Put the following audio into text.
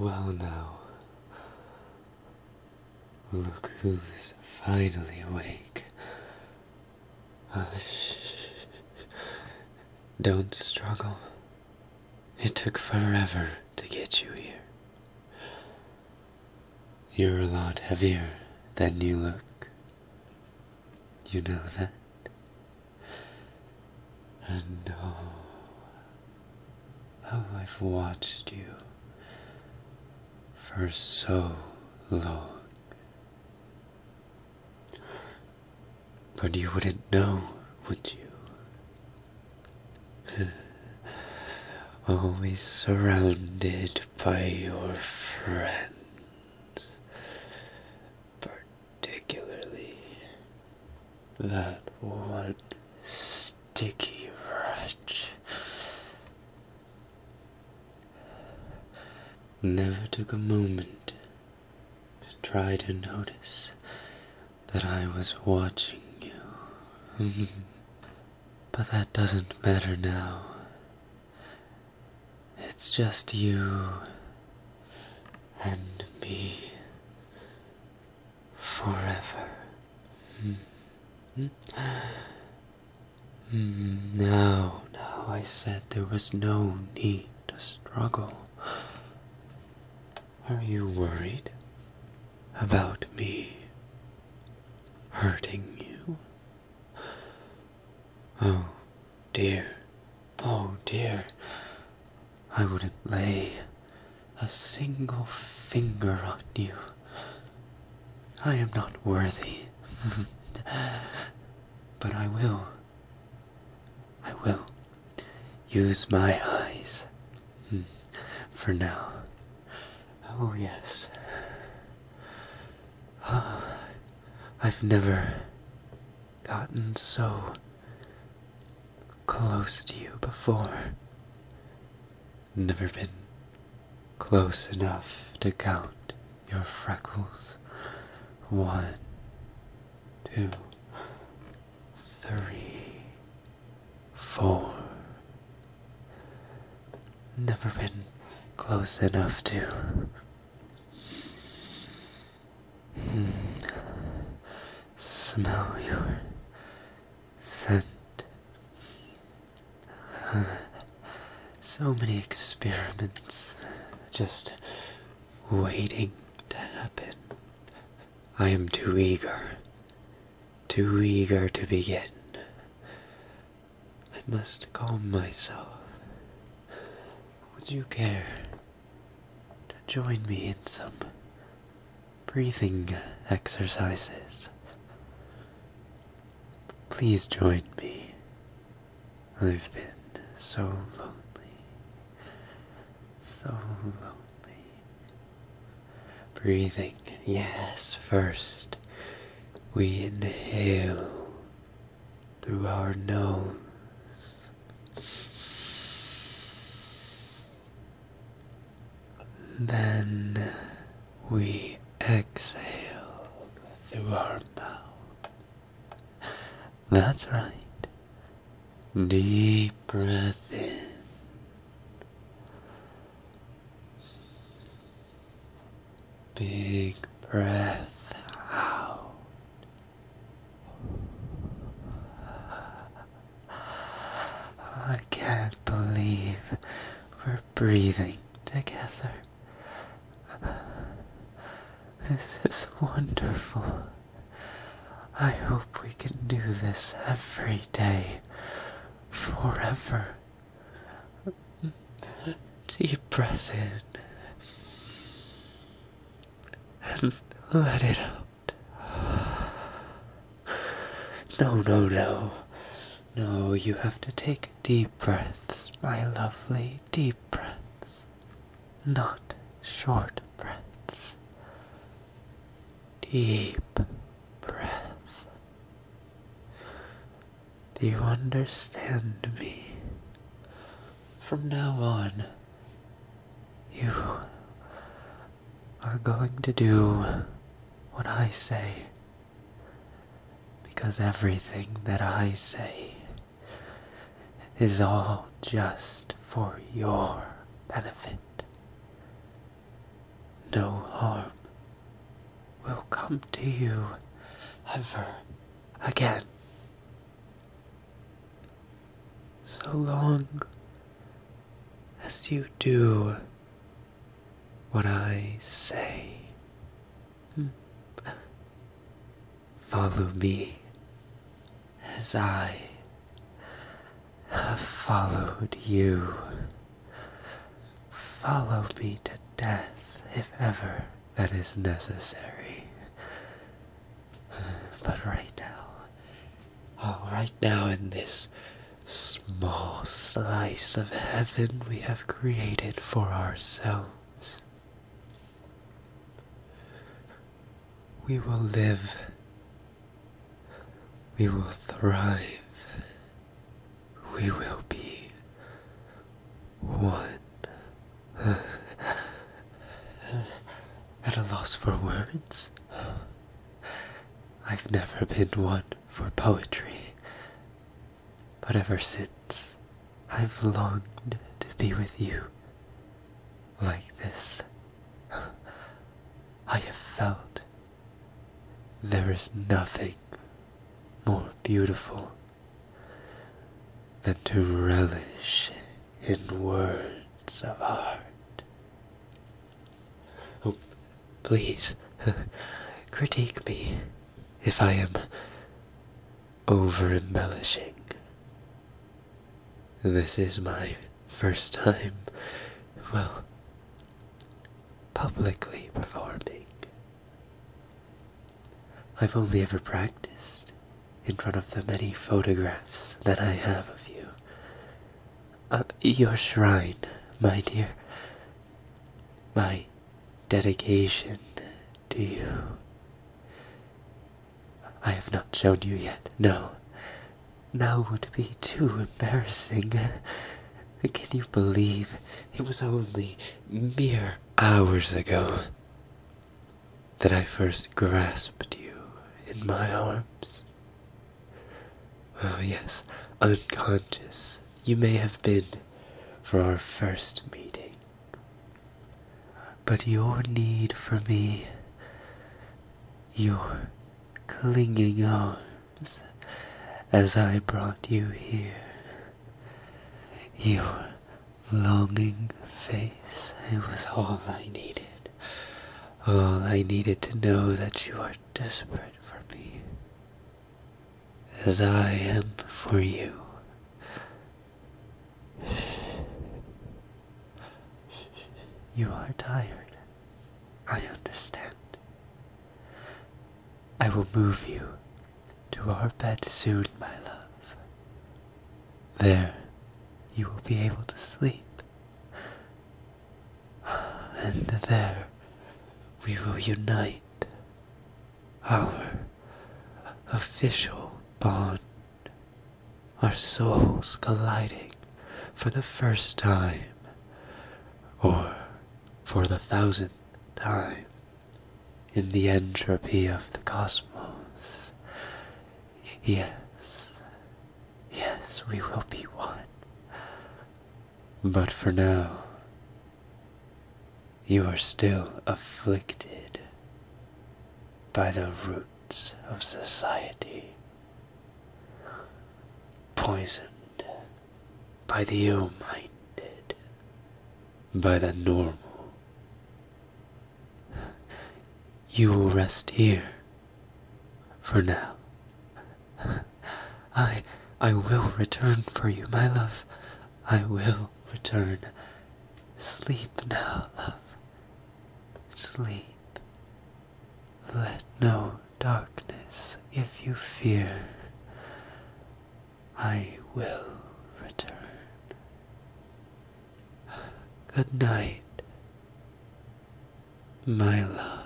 Well now, look who's finally awake. Don't struggle. It took forever to get you here. You're a lot heavier than you look. You know that? And oh, how I've watched you for so long. But you wouldn't know, would you? Always surrounded by your friends, particularly that one sticky wretch never took a moment to try to notice that I was watching you. but that doesn't matter now. It's just you and me forever. Hmm. Hmm? Hmm, now, now, I said there was no need to struggle. Are you worried about me hurting you? Oh dear, oh dear, I wouldn't lay a single finger on you. I am not worthy. But I will. I will use my eyes hmm. for now. Oh, yes. Oh, I've never gotten so close to you before. Never been close enough to count your freckles. One, two, three, four. Never been close enough to. Smell your scent so many experiments just waiting to happen. I am too eager, too eager to begin. I must calm myself. Would you care to join me in some breathing exercises? Please join me I've been so lonely, so lonely. Breathing, yes, first we inhale through our nose. Then we exhale through our mouth. That's right. Deep breath in. Big breath out. I can't believe we're breathing together. This is wonderful. I hope we can do this every day. Forever. Deep breath in. And let it out. No, no, no. No, you have to take deep breaths, my lovely, deep breaths, not short breaths. Deep breath. Do you understand me? From now on, you are going to do what I say. Because everything that I say is all just for your benefit. No harm will come to you ever again. So long as you do what I say. Follow me as I have followed you. Follow me to death if ever that is necessary. But right now, oh, right now in this small slice of heaven we have created for ourselves. We will live. We will thrive. We will be one. At a loss for words. I've never been one for poetry. But ever since, I've longed to be with you like this. I have felt there is nothing more beautiful than to relish in words of art. Oh, please, critique me if I am over embellishing. This is my first time, well, publicly performing. I've only ever practiced in front of the many photographs that I have of you. Uh, your shrine, my dear. My dedication to you. I have not shown you yet, no. Now would be too embarrassing. Can you believe it was only mere hours ago that I first grasped you in my arms? Oh, yes, unconscious you may have been for our first meeting. But your need for me, your clinging arms as I brought you here, your longing face, it was all I needed. All I needed to know that you are desperate for me as I am for you. You are tired. I understand. I will move you to our bed soon, my love. There you will be able to sleep. And there we will unite our official bond. Our souls colliding for the first time, or for the thousandth time, in the entropy of the cosmos. Yes, yes, we will be one. But for now, you are still afflicted by the roots of society, poisoned by the ill minded, by the normal. You will rest here for now. I I will return for you, my love. I will return. Sleep now, love. Sleep. Let no darkness if you fear. I will return. Good night, my love.